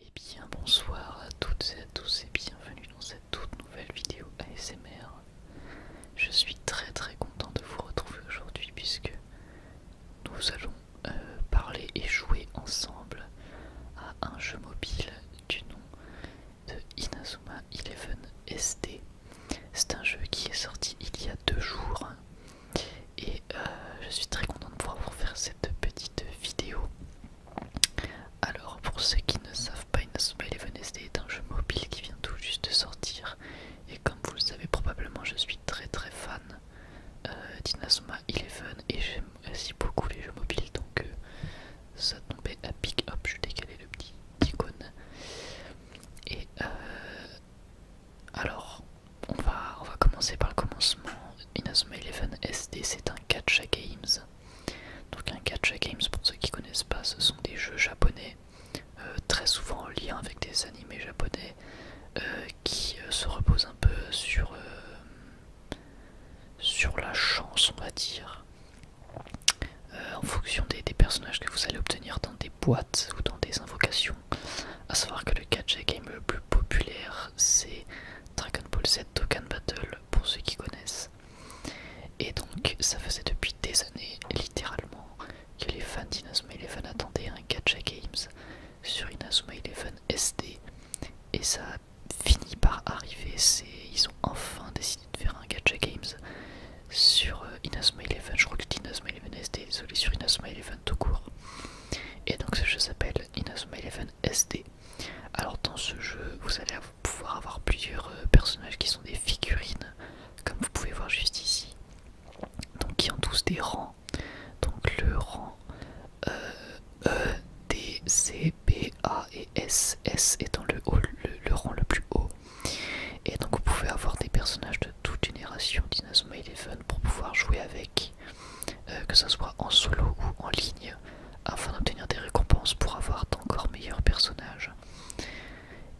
Et eh bien bonsoir à toutes et à tous et bienvenue dans cette toute nouvelle vidéo ASMR. Je suis très très content de vous retrouver aujourd'hui puisque nous allons euh, parler et jouer ensemble à un jeu mobile du nom de Inazuma Eleven SD. C'est un jeu qui est sorti il y a deux jours et euh, je suis très content de pouvoir vous faire cette de petite vidéo. Alors pour ceux qui ne savent pas, Inazuma Eleven SD est un jeu mobile qui vient tout juste de sortir et comme vous le savez probablement je suis très très fan euh, d'Inazuma Eleven et j'aime aussi beaucoup les jeux mobiles donc euh, ça tombait à pic, hop je décalais le petit icône et euh, alors on va, commencer par le commencement. Inazuma Eleven SD, c'est un catch games. Donc un catch games, pour ceux qui connaissent pas, ce sont des jeux japonais, euh, très souvent en lien avec des animés japonais, euh, qui euh, se reposent un peu sur, sur la chance, on va dire. en fonction des, personnages que vous allez obtenir dans des boîtes ou dans des invocations. A savoir que le catch game le plus populaire c'est Dragon Ball Z Token Battle pour ceux qui connaissent. Et donc ça faisait depuis des années littéralement que les fans d'Inazuma Eleven attendaient un Gacha Games sur Inazuma Eleven SD et ça finit par arriver, c'est ils ont enfin décidé de faire un Gacha Games sur euh, Inazuma Eleven, je crois que c'est Inazuma Eleven SD, désolé sur Inazuma Eleven tout court. Et donc ce jeu s'appelle Eleven SD. Alors dans ce jeu, vous allez pouvoir avoir plusieurs euh, personnages qui sont des figurines, comme vous pouvez voir juste ici, donc qui ont tous des rangs. Donc le rang euh, E, D, C, B, A et S. S étant le, rang le plus haut. Et donc vous pouvez avoir des personnages de toute génération d'Inazuma Eleven pour pouvoir jouer avec euh, que ce soit en solo ou en ligne, afin d'obtenir des récompenses pour avoir d'encore meilleurs personnages.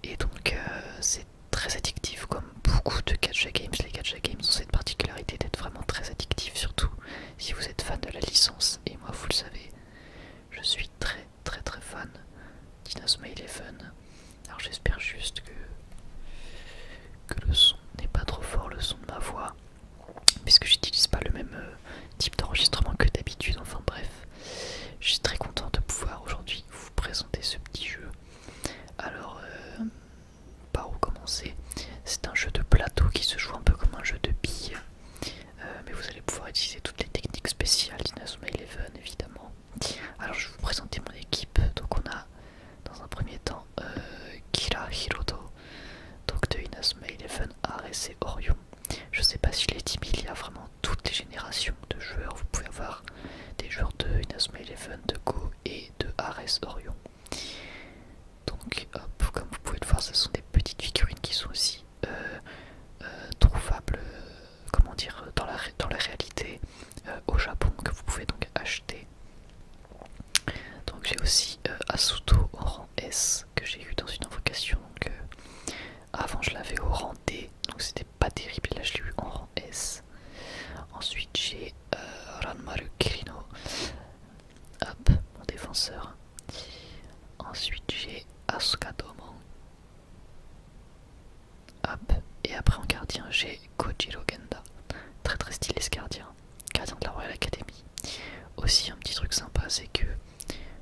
Et donc euh, c'est très addictif comme beaucoup de catch-up games. Les catch-up games ont cette particularité d'être vraiment très addictifs, surtout si vous êtes fan de la licence. Et moi, vous le savez, je suis très très très fan My Eleven. Alors j'espère juste que, que le son n'est pas trop fort, le son de ma voix puisque j'utilise pas le même euh, type d'enregistrement que d'habitude, enfin bref. Je suis très content de pouvoir aujourd'hui vous présenter ce petit jeu. Alors, pas euh, par où commencer C'est un jeu de plateau qui se joue un peu comme un jeu de billes, euh, mais vous allez pouvoir utiliser toutes les techniques spéciales d'Inazuma Eleven évidemment. Alors, je vais vous présenter mon équipe. Donc, on a dans un premier temps euh, Kira Hiroto, donc de Inazuma Eleven, Ares et Orion. Je sais pas si les timide, il y a vraiment toutes les générations de joueurs. Vous pouvez avoir des joueurs de Inazuma Eleven, de Go et de Ares Orion. Donc, hop, comme vous pouvez le voir, ce sont des petites figurines qui sont aussi euh, euh, trouvables, comment dire, dans la, réalité au Japon, que vous pouvez donc acheter. Donc j'ai aussi euh, Asuto au rang S que j'ai eu dans une invocation. que euh, avant je l'avais au rang D, donc c'était pas terrible, là je l'ai eu en rang S. Ensuite j'ai euh, Ranmaru Kirino, mon défenseur. Ensuite j'ai Asuka Domo. et après en gardien j'ai Kojiro Genda. Très très stylé ce gardien gardien de la Royal Academy. Aussi un petit truc sympa c'est que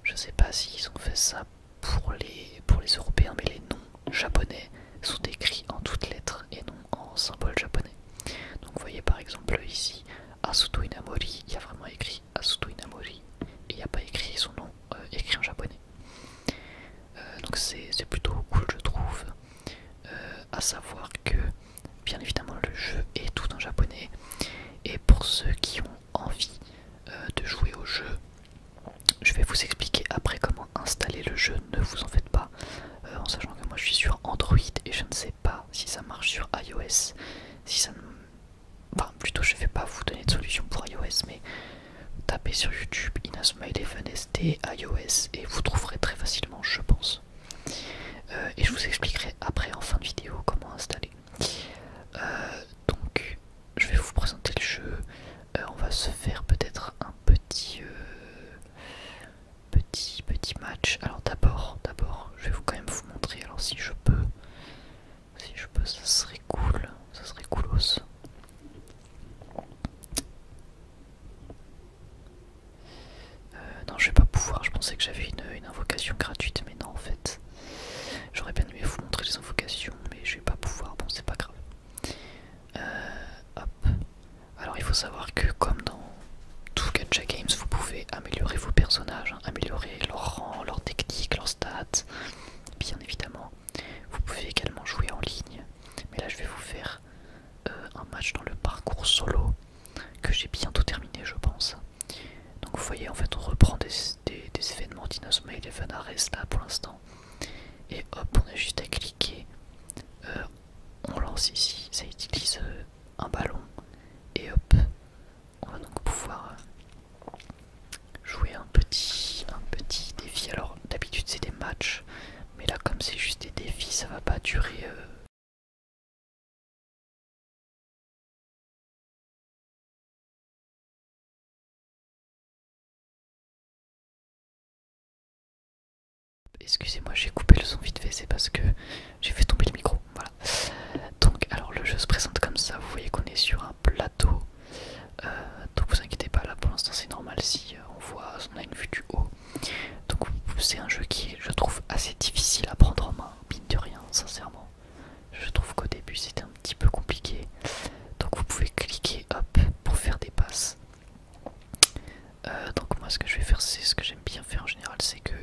je sais pas s'ils ont fait ça pour les, pour les Européens mais les noms japonais sont écrits en toutes lettres et non en symboles japonais. Donc vous voyez par exemple ici Asuto Inamori, il y a vraiment écrit Asuto Inamori et il n'y a pas écrit son nom euh, écrit en japonais. Euh, donc c'est plutôt cool je trouve. Euh, à savoir que bien évidemment le jeu est tout en japonais et pour ceux qui ont envie euh, de jouer au jeu je vais vous expliquer après comment installer le jeu ne vous en faites pas euh, en sachant que moi je suis sur Android et je ne sais pas si ça marche sur iOS si ça ne... enfin plutôt je vais pas vous donner de solution pour iOS mais tapez sur YouTube Inasmail ST iOS et vous trouverez très facilement je pense euh, et je vous expliquerai après en fin de vidéo comment installer. Euh, donc je vais vous présenter le jeu. Euh, on va se faire peut-être un petit, petit, petit match. Alors d'abord, d'abord, je vais vous quand même vous montrer. Alors si je peux, si je peux, ça serait cool, ça serait coolos. Euh, non, je vais pas pouvoir. Je pensais que j'avais une, invocation gratuite, mais non, en fait. J'aurais bien aimé vous montrer les invocations, mais je vais pas pouvoir. Bon, c'est pas grave. Euh, Alors, il faut savoir que, comme dans tout Gacha Games, vous pouvez améliorer vos personnages, hein, améliorer leur rang, leur technique, leur stats, bien évidemment. Vous pouvez également jouer en ligne, mais là, je vais vous faire euh, un match dans le parcours solo que j'ai bientôt terminé je pense. Donc vous voyez en fait on reprend des, événements Dinos Mail et Vanares là pour l'instant. Et hop on a juste à cliquer, euh, on lance ici, ça utilise euh, un ballon et hop on va donc pouvoir jouer un petit, un petit défi. Alors d'habitude c'est des matchs mais là, comme c'est juste des défis, ça va pas durer. Euh. Excusez-moi, j'ai coupé le son vite fait, c'est parce que j'ai fait tomber le micro. Voilà. Donc, alors le jeu se présente comme ça. Vous voyez qu'on est sur un plateau. Euh, donc, vous inquiétez pas, là pour l'instant c'est normal si euh, on voit, on a une vue du haut. Donc c'est un jeu qui je trouve assez difficile à prendre en main, mine de rien, sincèrement. Je trouve qu'au début c'était un petit peu compliqué. Donc vous pouvez cliquer hop pour faire des passes. Euh, donc moi ce que je vais faire c'est ce que j'aime bien faire en général c'est que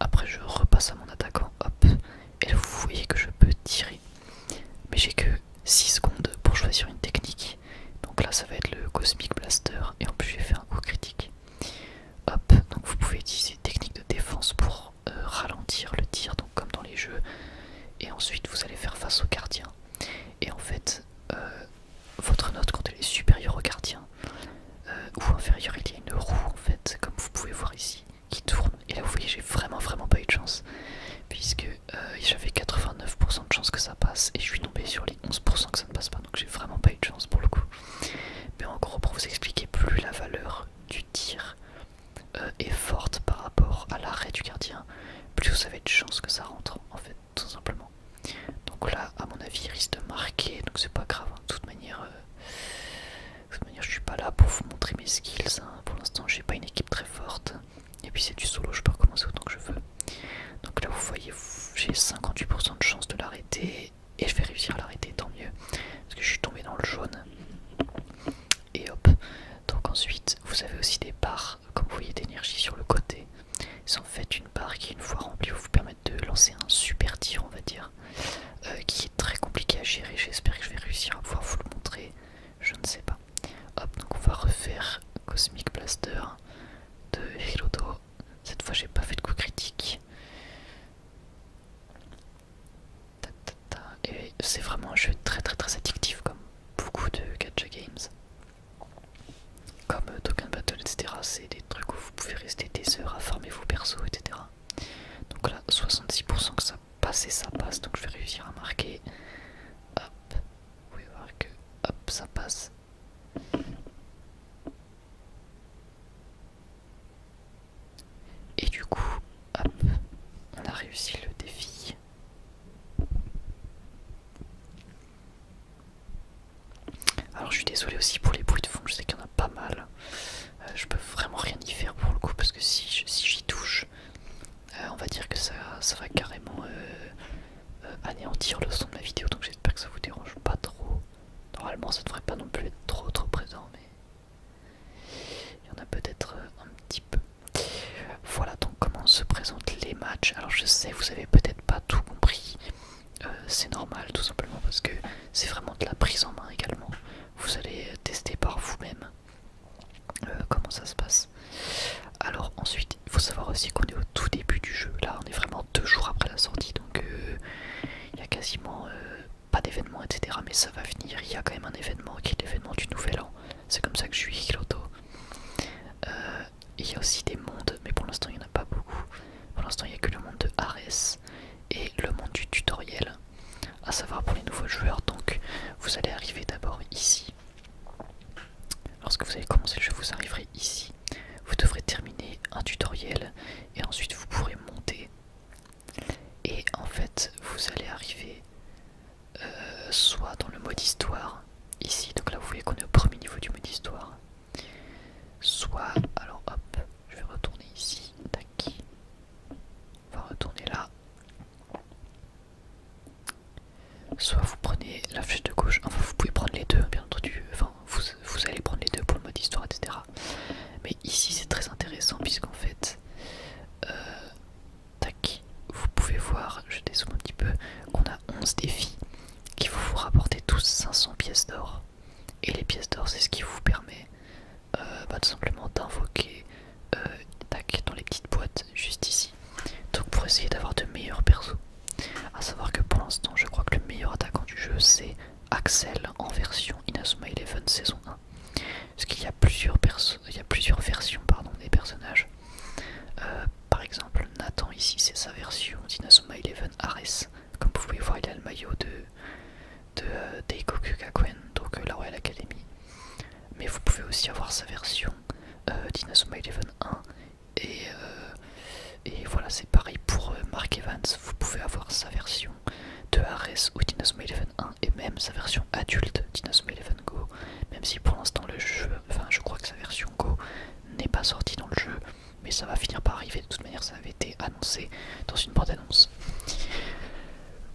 après je repasse à mon attaquant hop et vous voyez que je peux tirer mais j'ai que 6 secondes pour choisir une technique donc là, ça va être le Cosmic Blaster. Et en plus, j'ai fait un coup critique. Hop, donc vous pouvez utiliser technique de défense pour euh, ralentir le tir, donc comme dans les jeux. Et ensuite, vous allez faire face au gardien. Et en fait, euh, votre note, quand elle est supérieure au gardien euh, ou inférieure, il y a une roue en fait, comme vous pouvez voir ici, qui tourne. Et là, vous voyez, j'ai vraiment, vraiment pas eu de chance, puisque j'avais 89% de chance que ça passe et je suis tombé sur les. 11% que ça ne passe pas, donc j'ai vraiment pas eu de chance pour le coup. Mais en gros, pour vous expliquer, plus la valeur du tir euh, est forte par rapport à l'arrêt du gardien, plus vous avez de chance que ça rentre, en fait, tout simplement. Donc là, à mon avis, il risque de marquer, donc c'est pas grave. Hein. De, toute manière, euh, manière, je suis pas là pour vous montrer mes skills. Hein. Pour l'instant, j'ai pas une équipe très forte. Et puis c'est du solo, je peux recommencer autant que je veux. Donc là, vous voyez, j'ai 58% de chance de l'arrêter et je vais réussir à l'arrêter, tant mieux, parce que je suis tombé dans le jaune. Et hop. Donc ensuite, vous avez aussi des barres, comme vous voyez, d'énergie sur le côté. C'est en fait une barre qui, une fois remplie, vous permet de lancer un super tir, on va dire, euh, qui est très compliqué à gérer. J'espère que je vais réussir à pouvoir vous le montrer. Je ne sais pas. Hop, donc on va refaire Cosmic Blaster de Hiroto. Cette fois, j'ai pas fait de coup critique. Et c'est vraiment un jeu très très très addictif, comme beaucoup de gacha games. Comme Token Battle, etc. C'est des trucs où vous pouvez rester des heures à farmer vos persos, etc. Donc là, 66% que ça passe et ça passe, donc je vais réussir à marquer. Hop, vous pouvez voir que ça passe. Et du coup, hop, on a réussi le défi. Alors je suis désolé aussi pour les bruits de fond, je sais qu'il y en a pas mal. Euh, je peux vraiment rien y faire pour le coup parce que si j'y touche, euh, on va dire que ça, ça va carrément euh, euh, anéantir le son de la vidéo donc j'espère que ça vous dérange pas trop. Normalement ça devrait pas non plus être trop trop présent mais il y en a peut-être euh, un petit peu. Voilà donc comment se présentent les matchs. Alors je sais vous avez peut-être pas tout compris. Euh, c'est normal tout simplement parce que c'est vraiment de la prise en main également. Vous allez tester par vous-même comment ça se passe. Alors ensuite, il faut savoir aussi qu'on est au tout début du jeu. Là, on est vraiment deux jours après la sortie, donc euh, il y a quasiment euh, pas d'événement, etc. Mais ça va venir. Il y a quand même un événement qui est l'événement du Nouvel An. C'est comme ça que je suis Hiloto. Euh, il y a aussi des mondes, mais pour l'instant, il n'y en a pas beaucoup. Pour l'instant, il n'y a que le monde de Ares et le monde du tutoriel. À savoir pour les nouveaux joueurs, donc vous allez arriver d'abord ici Lorsque vous avez commencé le jeu, vous arriverez ici. Vous devrez terminer un tutoriel et ensuite vous pourrez monter. Et en fait, vous allez arriver euh, soit dans le mode histoire, ici, donc là vous voyez qu'on est au premier niveau du mode histoire, soit, alors hop, je vais retourner ici, on va retourner là. Soit vous prenez la flèche de gauche, enfin vous pouvez prendre les deux, bien entendu, enfin vous, allez prendre les deux pour le mode histoire, etc. Mais ici c'est très intéressant puisqu'en fait, euh, tac, vous pouvez voir, je dézoome un petit peu, qu'on a 11 défis qui vont vous rapporter tous 500 pièces d'or. Et les pièces d'or c'est ce qui vous permet euh, bah, tout simplement d'invoquer euh, tac dans les petites boîtes juste ici. Donc pour essayer d'avoir de meilleurs persos. A savoir que pour l'instant, je crois que le meilleur attaquant du jeu, c'est Axel en version Inazuma Eleven saison 1. Parce qu'il y, a plusieurs il y a plusieurs versions pardon, des personnages. Euh, par exemple, Nathan ici, c'est sa version d'Inazuma Eleven Ares. Comme vous pouvez voir, il a le maillot de, de euh, donc euh, la Royal Academy. Mais vous pouvez aussi avoir sa version euh, d'Inasuma 11 Eleven 1 euh, et, voilà, c'est pareil pour euh, Mark Evans, vous pouvez avoir sa version de Ares ou Dinosaur Eleven 1 et même sa version adulte Dinosaur 11 Go, même si pour l'instant le jeu, enfin je crois que sa version Go n'est pas sortie dans le jeu, mais ça va finir par arriver, de toute manière ça avait été annoncé dans une bande-annonce.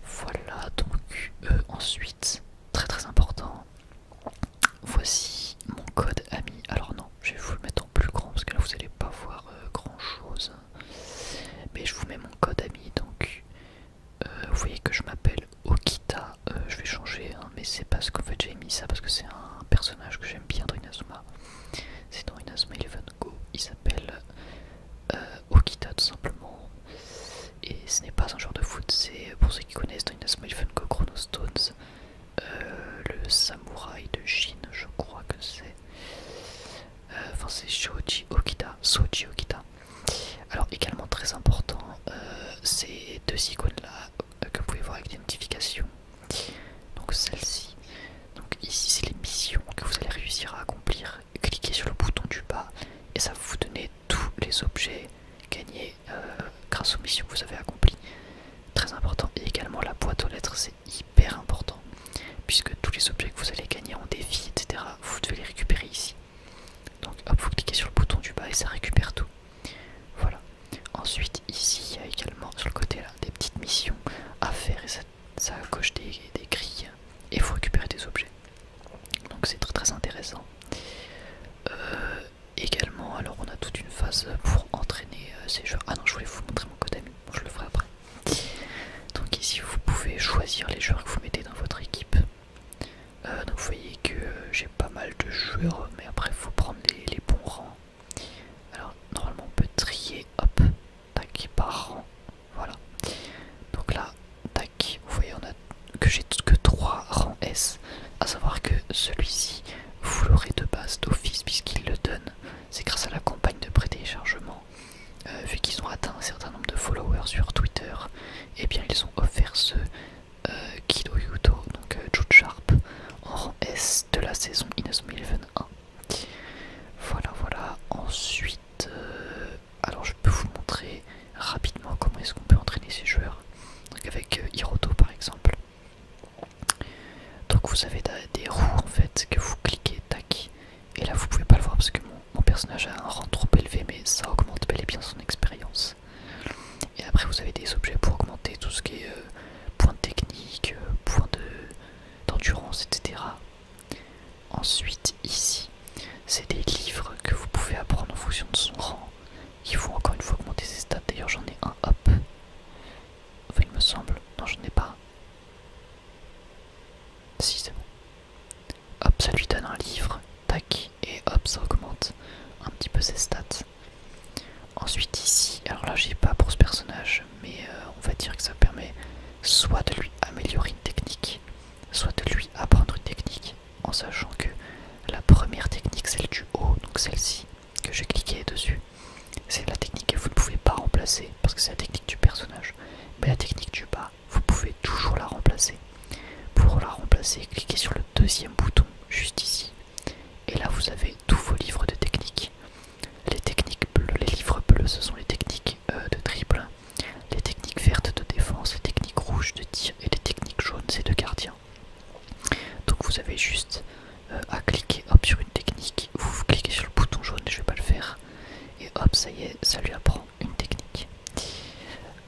Voilà, donc euh, ensuite, très très important, Voici mon code ami. Alors non, je vais vous le mettre en plus grand parce que là vous allez pas voir euh, grand chose. Mais je vous mets mon code ami. Donc euh, vous voyez que je m'appelle Okita. Euh, je vais changer, hein, mais c'est parce qu'en fait j'ai mis ça parce que c'est un personnage que j'aime bien dans Inazuma. C'est dans Inazuma Eleven Go. Il s'appelle Okita tout simplement. Et ce n'est pas un genre de foot, c'est pour ceux qui connaissent dans Inazuma Eleven Go Chrono Stones. Euh, le samouraï de Chine, je crois que c'est. Euh, enfin, c'est Shoji Okita. Soji Okita. Alors, également très important, euh, ces deux icônes-là que vous pouvez voir avec notifications Donc, celle-ci. Donc, ici, c'est les missions que vous allez réussir à accomplir. Cliquez sur le bouton du bas et ça va vous donner tous les objets gagnés euh, grâce aux missions que vous avez accomplies. Très important. Et également la boîte aux lettres, c'est hyper important. Puisque tous les objets que vous allez gagner en défi, etc., vous devez les récupérer ici. Donc hop, vous cliquez sur le bouton du bas et ça récupère tout. Voilà. Ensuite, ici, il y a également sur le côté là des petites missions à faire et ça, coche des, des grilles et vous récupérez des objets. Donc c'est très très intéressant. Euh, également, alors on a toute une phase pour entraîner euh, ces joueurs. Ah non, je voulais vous montrer mon code je le ferai après. Donc ici, vous pouvez choisir les joueurs que vous mettez dans votre équipe. Euh, donc vous voyez que euh, j'ai pas mal de joueurs, mais après, il faut prendre les, bons rangs. Alors normalement, on peut trier, hop, tac, par rang. Voilà. Donc là, tac, vous voyez, on a que j'ai que 3 rangs S, à savoir que celui-ci, vous l'aurez de base d'office puisqu'il le donne, c'est grâce à la campagne de prêt euh, vu qu'ils ont atteint un certain nombre de followers sur Twitter, et eh bien ils ont offert ce euh, Kido Yuto, donc euh, Jude Sharp, en rang S de la saison Milven 1. Voilà, voilà. Ensuite, alors je peux vous montrer rapidement comment est-ce qu'on peut entraîner ces joueurs. avec euh, Hiroto par exemple. Donc vous avez des roues en fait que vous cliquez, tac, et là vous pouvez pas le voir parce que mon, personnage a un rang trop élevé mais ça augmente bel et bien son expérience. Et après vous avez des objets pour augmenter tout ce qui est euh, points point de technique, euh, de d'endurance, etc. Ensuite ici, c'est des livres que vous pouvez apprendre en fonction de son rang. Il faut encore une fois augmenter ses stats. D'ailleurs, j'en ai un. Hop. il me semble. Non, j'en ai pas. Si, c'est bon. Hop, ça lui donne un livre. Tac. Et hop, ça augmente un petit peu ses stats. Ensuite, ici, alors là, j'ai pas pour ce personnage, mais euh, on va dire que ça permet soit de lui améliorer une technique, soit de lui apprendre une technique, en sachant que la première technique, celle du haut, donc celle-ci que j'ai cliqué dessus, c'est la technique que vous ne pouvez pas remplacer parce que c'est la technique du personnage. Mais la technique du bas, vous pouvez toujours la remplacer. Pour la remplacer, cliquez sur le deuxième bouton juste ici. Et là, vous avez tous vos livres de techniques. Les techniques bleues, les livres bleus, ce sont les techniques euh, de triple, les techniques vertes de défense, les techniques rouges de tir et les techniques jaunes, c'est de gardien. Donc vous avez juste euh, à cliquer sur une technique, vous cliquez sur le bouton jaune, je vais pas le faire, et hop ça y est, ça lui apprend une technique.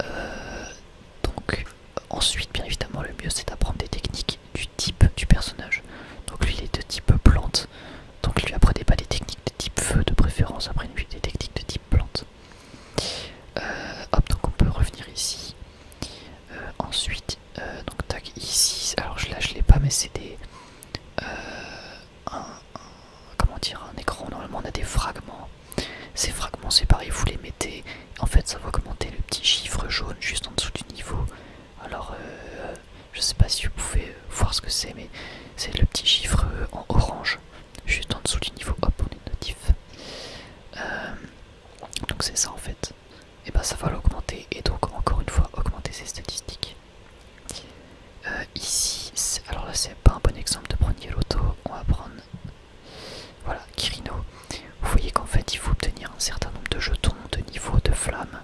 Euh, donc ensuite bien évidemment le mieux c'est d'apprendre des techniques du type du personnage. Donc lui il est de type plante, donc lui apprenez pas des techniques de type feu de préférence, apprenez lui des techniques de type plante. Euh, hop, donc on peut revenir ici. Euh, ensuite, euh, donc tac, ici. Alors là, je l'ai pas, mais c'est des. comment dire Un écran. Normalement, on a des fragments. Ces fragments, c'est pareil, vous les mettez. En fait, ça va augmenter le petit chiffre jaune juste en dessous du niveau. Alors, je je sais pas si vous pouvez voir ce que c'est, mais c'est le petit chiffre en orange juste en dessous du niveau hop on est notif euh, donc c'est ça en fait et eh ben, ça va l'augmenter et donc encore une fois augmenter ses statistiques euh, ici alors là c'est pas un bon exemple de prendre l'auto on va prendre voilà Kirino vous voyez qu'en fait il faut obtenir un certain nombre de jetons de niveau de flamme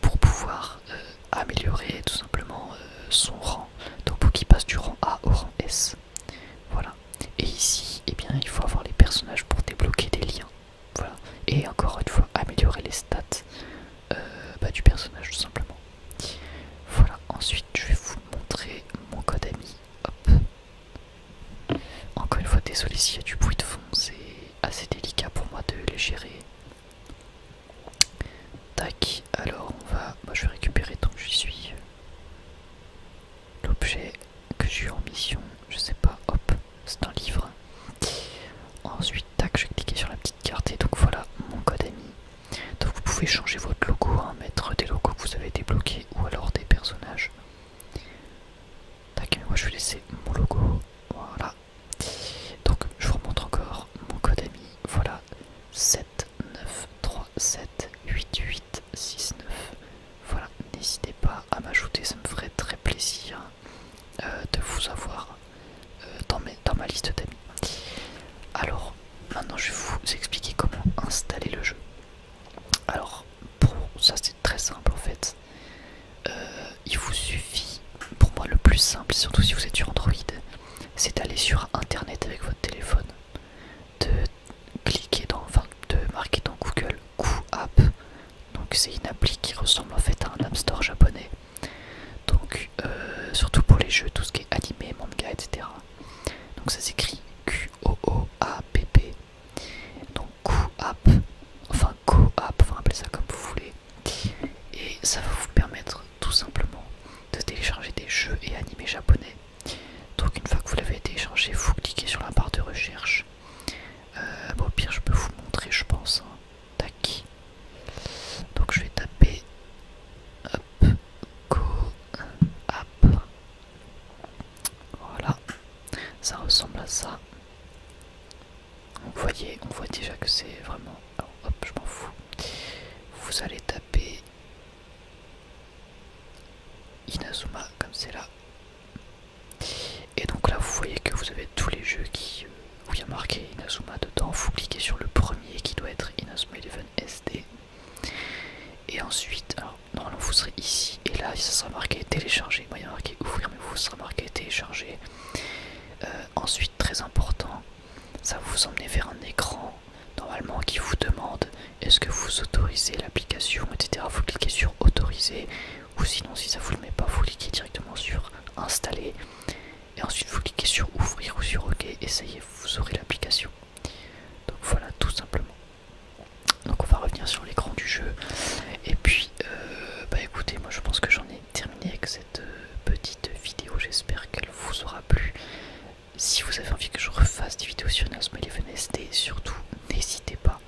pour pouvoir euh, améliorer tout simplement son rang donc pour qu'il passe du rang A au rang S voilà. Et ici, eh bien, il faut avoir les personnages pour débloquer des liens. Voilà. Et encore une fois, améliorer les stats euh, bah, du personnage tout simplement. Voilà, ensuite je vais vous montrer mon code ami. Hop. Encore une fois, désolé s'il y a du bruit de fond, c'est assez délicat pour moi de les gérer. Tac, alors on va. Moi je vais récupérer tant que j'y suis l'objet que j'ai eu en mission, je sais pas, hop, c'est un livre. Ensuite, tac, je vais cliquer sur la petite carte et donc voilà mon code ami. Donc vous pouvez changer votre logo, hein, mettre des logos que vous avez débloqués ou alors des personnages. Tac, moi je vais laisser mon logo, voilà. Donc je vous remontre encore mon code ami, voilà, 7 9 3 7 8 8 6 9 voilà n'hésitez pas à m'ajouter ça me ferait très plaisir euh, de vous avoir euh, dans, ma liste d'amis alors maintenant je vais vous expliquer comment installer le jeu alors pour ça c'est très simple en fait euh, il vous suffit pour moi le plus simple surtout si vous êtes sur Android c'est d'aller sur internet avec votre téléphone de cliquer dans, enfin, de marquer dans Google up Donc c'est une appli qui ressemble en fait à un App Store japonais. Donc euh, surtout pour les jeux, tout ce qui est animé, manga, etc. Donc ça s'écrit q o a p p Donc QApp, enfin appelez ça comme vous voulez. Et ça va vous permettre tout simplement de télécharger des jeux et animés japonais donc une fois que vous l'avez téléchargé, vous cliquez sur la barre de recherche. Euh, bon, bah, au pire, je peux vous montrer, je pense. Hein. Tac. Donc je vais taper Hop. Go hop Voilà. Ça ressemble à ça. Vous voyez, on voit déjà que c'est vraiment... hop, je m'en fous. Vous allez taper Inazuma comme c'est là. Et donc là vous voyez que vous avez tous les jeux qui, vous euh, où il y a marqué Inazuma dedans. Vous cliquez sur le premier qui doit être Inazuma Eleven SD. Et ensuite, normalement vous serez ici et là ça sera marqué télécharger. Moi il y a marqué ouvrir mais vous sera marqué télécharger. Euh, ensuite très important, ça va vous emmener vers un écran normalement qui vous demande est-ce que vous autorisez l'application, etc. Vous cliquez sur autoriser ou sinon si ça vous le met pas, vous cliquez directement sur installer et ensuite vous cliquez sur ouvrir ou sur OK et ça y est, vous aurez l'application. Donc voilà tout simplement. Donc on va revenir sur l'écran du jeu et puis euh, bah écoutez moi je pense que j'en ai terminé avec cette euh, petite vidéo j'espère qu'elle vous aura plu si vous avez envie que je refasse des vidéos sur Eleven SD, surtout n'hésitez pas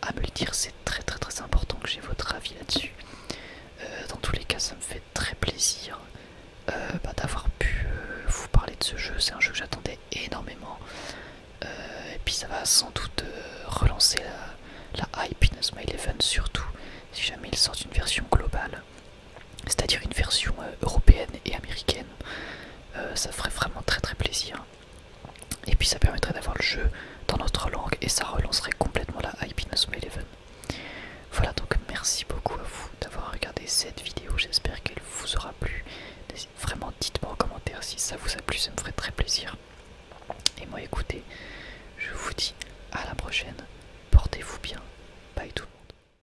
à me le dire, c'est très très très important que j'ai votre avis là-dessus. Euh, dans tous les cas, ça me fait très plaisir euh, bah, d'avoir pu euh, vous parler de ce jeu, c'est un jeu que j'attendais énormément. et puis ça va sans doute relancer la, hype la Smile 11, surtout si jamais il sort une version globale c'est-à-dire une version euh, européenne et américaine. Euh, ça ferait vraiment très très plaisir. Et puis ça permettrait d'avoir le jeu dans notre langue et ça relancerait complètement la hype 11. Eleven. Voilà donc merci beaucoup à vous d'avoir regardé cette vidéo, j'espère qu'elle vous aura plu. Vraiment dites-moi en commentaire si ça vous a plu, ça me ferait très plaisir. Et moi écoutez, je vous dis à la prochaine, portez-vous bien, bye tout le monde.